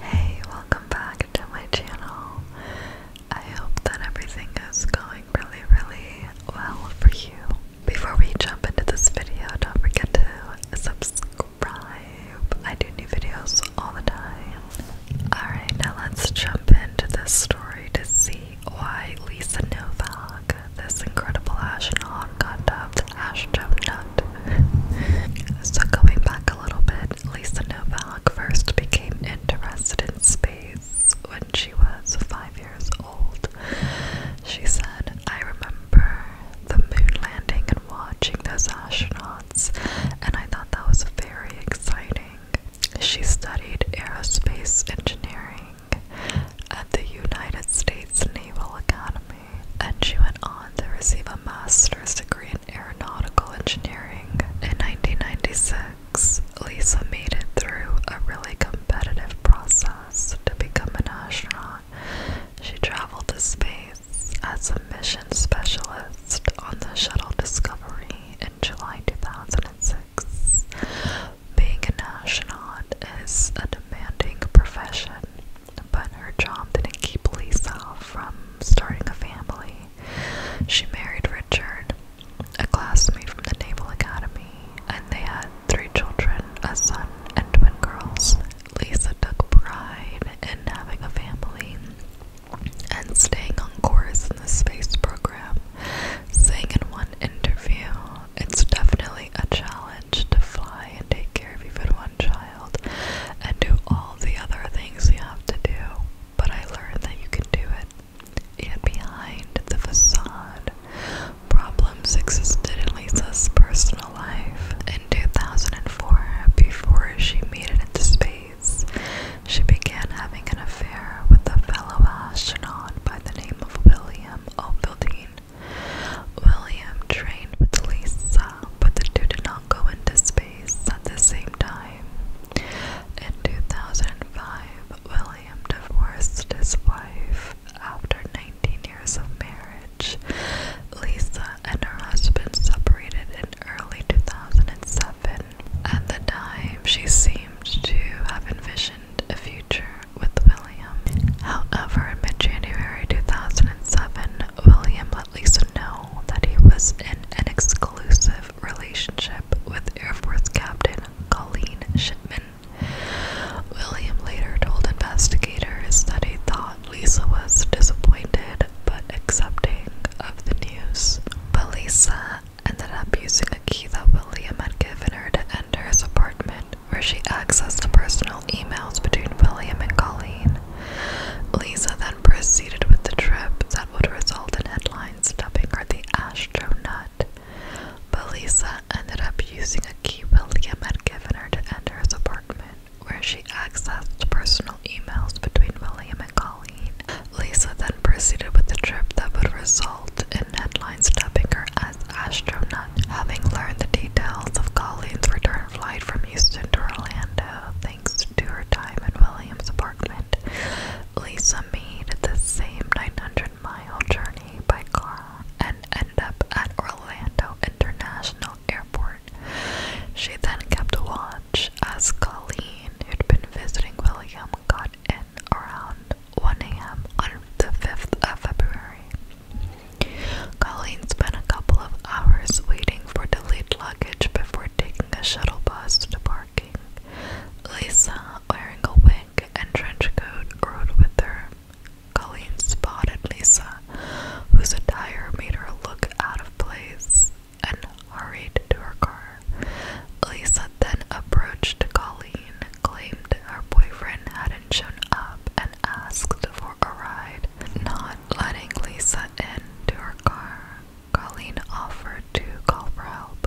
Hey, welcome back to my channel. I hope that everything is going really, really well for you. Before we jump into this video, don't forget to subscribe. I do new videos all the time. Alright, now let's jump into this story to see why Lisa Novak, this incredible astronaut, got dubbed Ash Astronut so going back a little bit, Lisa Novak first became interested in space when she was five years old. She said, I remember the moon landing and watching those astronauts, and I thought that was very exciting. She studied aerospace engineering at the United States Naval Academy and she went on to receive a master's degree in aeronautical engineering. In 1996, Lisa made it through a really competitive process to become an astronaut. She traveled to space as a mission specialist on the shuttle Discovery in July 2006. Being an astronaut is a demanding profession, but her job didn't keep Lisa from starting a family. She married Richard, a classmate from the Naval Academy, and they had three children a son and twin girls. Lisa took pride in having a family and staying on course in the space program, saying in one interview, It's definitely a challenge to fly and take care of even one child and do all the other things you have to do, but I learned that you can do it. Yet behind the facade, problems existed in Lisa's personal life. In 2004, before she made it into space, she began having an affair with a fellow astronaut by the name of William O'Fielding. William trained with Lisa, but the two did not go into space at the same time. In 2005, William divorced his wife after 19 years of marriage. Lisa and her husband separated in early 2007. At the time, she seemed to have envisioned a future with William. However, in mid January 2007, William let Lisa know that he was in an exclusive relationship with Air Force Captain Colleen Shipman. William later told investigators that he thought Lisa was disappointed but accepting of the news. But Lisa ended up using a key that William had given her to enter his apartment where she accessed the personal emails between William and Colleen. Lisa then proceeded with the trip that would result in headlines dubbing her the astronaut. But Lisa ended up using a key William had given her to enter his apartment, where she accessed personal emails between William and Colleen. Lisa then proceeded with the trip that would result in in headlines as Astronaut. Having learned the details of Colleen's return flight from Houston to Orlando, thanks to her time in Williams' apartment, Lisa made the same 900 mile journey by car and ended up at Orlando International Airport. She then kept watch as Colleen, who'd been visiting William, got in around 1 a.m. on the 5th of February. Colleen spent a couple of hours waiting for delayed luggage before taking a shuttle bus to parking. Lisa, wearing a wig and trench coat, rode with her. Colleen spotted Lisa, whose attire made her look out of place, and hurried to her car. Lisa then approached Colleen claimed her boyfriend hadn't shown up and asked for a ride, not letting Lisa into her car. Colleen offered to call for help.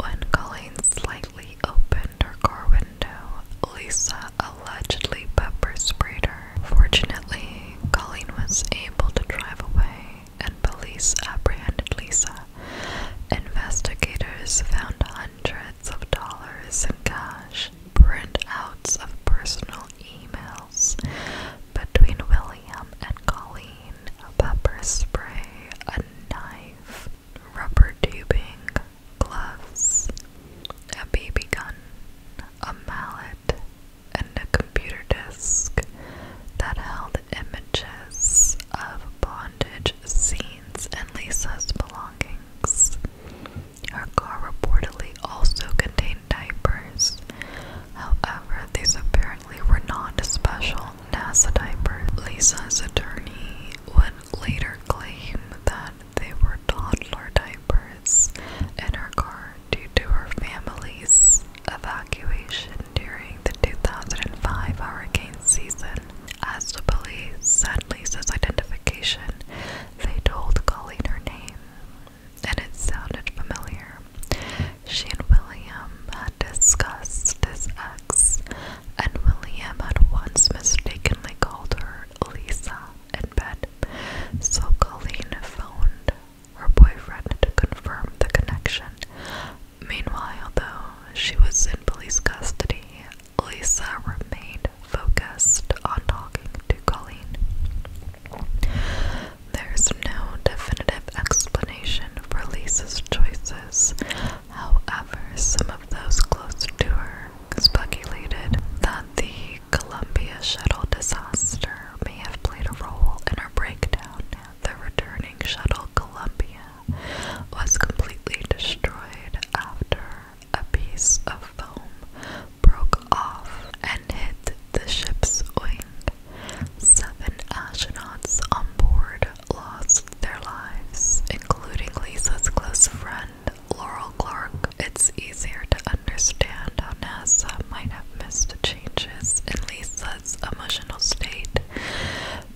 When Colleen slightly opened her car window, Lisa allegedly pepper sprayed her. Fortunately, Colleen was able to drive away, and police apprehended Lisa Investigators found hundreds of dollars in cash, printouts of personal emails between William and Colleen, a pepper spray, a knife, rubber tubing, gloves, a BB gun, a mallet, and a computer disk that held images of bondage scenes and Lisa's belongings. Her car reportedly also contained diapers. However, these apparently were not special NASA diapers. Lisa's attorney would later claim that they were toddler diapers in her car due to her family's evacuation during the 2005 hurricane season. As the police said Lisa's identification, they told Colleen her name, and it sounded familiar. She and William had discussed this ex, and William had once mistakenly called her Lisa in bed, so Colleen phoned her boyfriend to confirm the connection Meanwhile, though she was in police custody, Lisa remained focused on talking to Colleen. There's no definitive explanation for Lisa's choices. However, some of those close to her speculated that the Columbia shuttle disaster may have played a role in her breakdown the returning shuttle Columbia was completely destroyed after a piece of foam broke off and hit the ship's wing. Seven astronauts on board lost their lives, including Lisa's close friend, Laurel Clark. It's easier to understand how NASA might have missed changes in Lisa Ella's emotional state,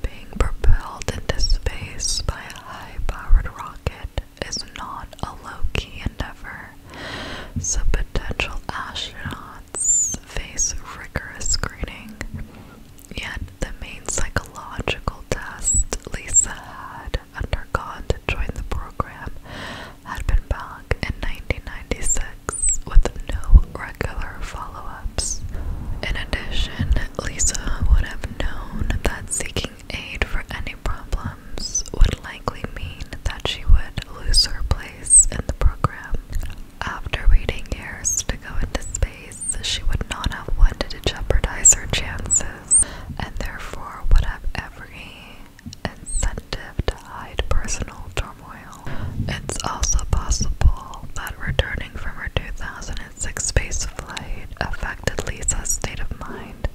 being propelled into space by a high powered rocket, is not a low key endeavor. So, potential astronauts face rigorous screening. Yet, the main psychological test Lisa had undergone to join the program had been back in 1996 with no regular follow ups. In addition, Lisa would have known that seeking aid for any problems would likely mean that she would lose her place in the program. After waiting years to go into space, she would not have wanted to jeopardize her chances and therefore would have every incentive to hide personal turmoil. It's also possible that returning from her 2006 space flight affected Lisa's state of mind.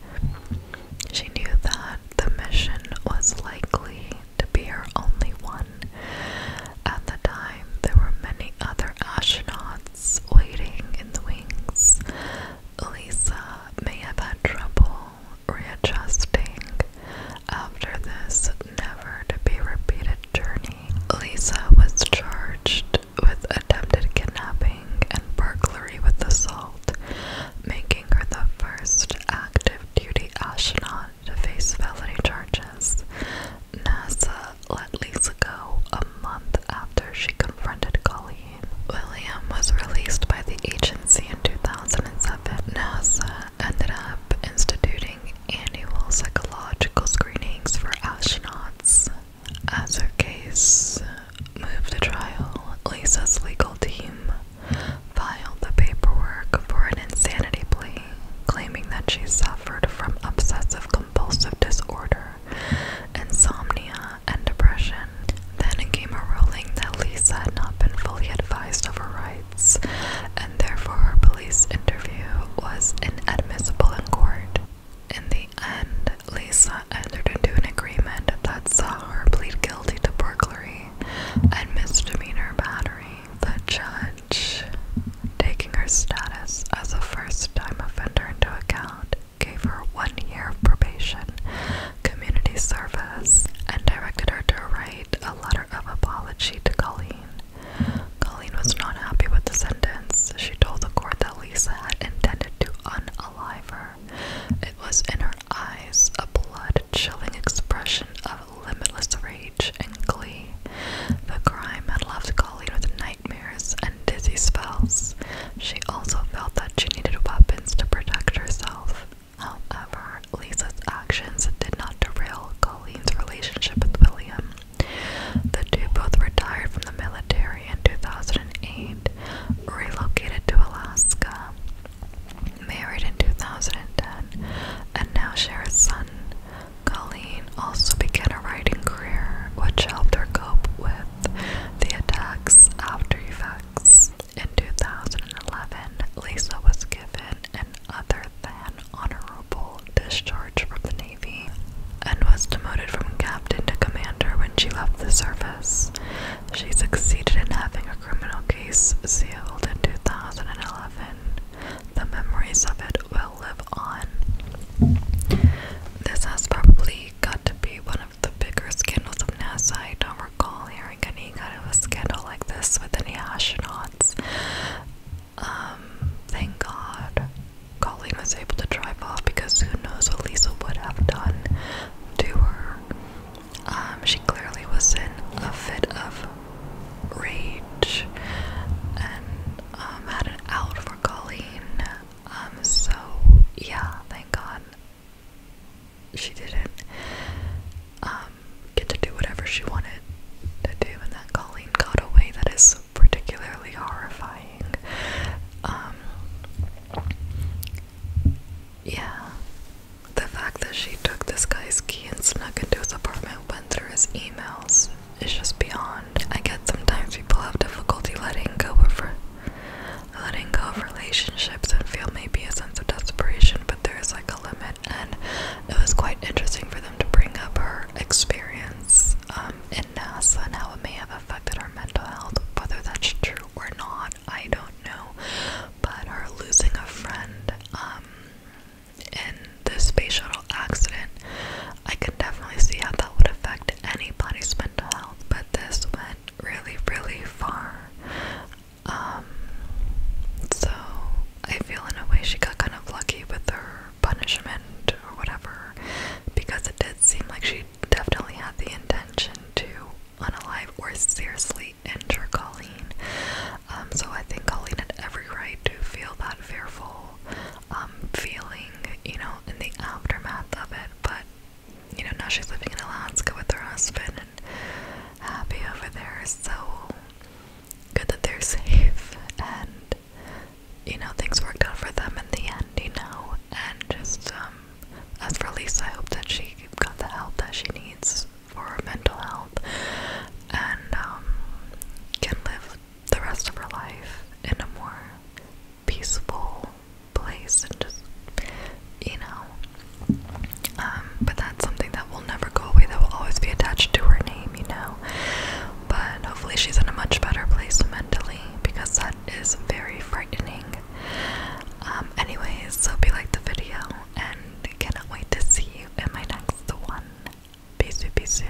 She knew that the mission was likely to be her only one. At the time, there were many other astronauts waiting in the wings. Lisa may have had trouble readjusting after this never to be repeated journey. Lisa was charged with attempted kidnapping and burglary with assault, making her the first active duty astronaut to face felony charges. NASA let Lisa go a month after she confronted Colleen. William was released by the agency in 2007, NASA ended up instituting annual psychological screenings for astronauts. As her case moved to trial, Lisa's legal team filed the paperwork for an insanity plea, claiming that she suffered from obsessive compulsive disorder, insomnia, and depression. Then came a ruling that Lisa had not been fully advised of her rights, and therefore her police interview was inadmissible in court. In the end, Lisa entered into an agreement that saw her plead guilty to burglary and misdemeanor battery. The judge, taking her status as a first time offender into account, gave her one year of probation community service and directed her to write a letter of apology to Colleen. Colleen was not happy with the sentence. She told the court that Lisa had intended to unalive her. It was in her eyes a blood chilling expression of limitless rage and glee. The crime had left Colleen with nightmares and dizzy spells. She also felt that she needed weapons to protect herself. However, Lisa's actions did not derail Colleen's relationship with William. The two both retired from the military in 2008, relocated to Alaska, married in 2010, and now share a son. Colleen also began a writing career, which helped her cope with the attacks after in 2011, Lisa was given an other than honorable discharge from the Navy and was demoted from captain to commander when she left the service. She succeeded in having a criminal case sealed in 2011. The memories of it will live on. This has probably got to be one of the bigger scandals of NASA. I don't recall hearing any kind of a scandal like this with any astronauts. Um, thank God Colleen was able to drive off because who knows what Lisa would have done to her. Um, she clearly was in a fit of rage and um, had an out for Colleen um, so yeah, thank God she didn't um get to do whatever she wanted to do and that Colleen got away. That is particularly horrifying. Um yeah. The fact that she took this guy's key and snuck into his apartment, went through his emails, is just beyond I get sometimes people have difficulty letting go of letting go of relationships and feel maybe a sense of desperation, but there is like a limit. And it was quite interesting for them to bring up her experience um, in NASA and how it may have affected her mental health. Whether that's true or not, I don't know. But her losing a friend um, in the space shuttle accident, I can definitely see how that would affect anybody's mental health but this went really, really far. Um, so I feel in a way she got kind of lucky with her punishment or whatever, because it did seem like she definitely had the intention to unalive or seriously injure Colleen. Um, so I think Colleen had every right to feel that fearful um, feeling, you know, in the aftermath of it. But, you know, now she's living in Alaska with her husband and happy over there. So good that they're safe and, you know, things worked out for them in the end, you know. And just, um, as for Lisa, I hope that she got the help that she needs for her mental health and um, can live the rest of her life in a more peaceful place and just you know um, but that's something that will never go away that will always be attached to her name you know but hopefully she's in a much better place mentally because that is very frightening um anyways hope you liked the video and cannot wait to see you in my next one peace peace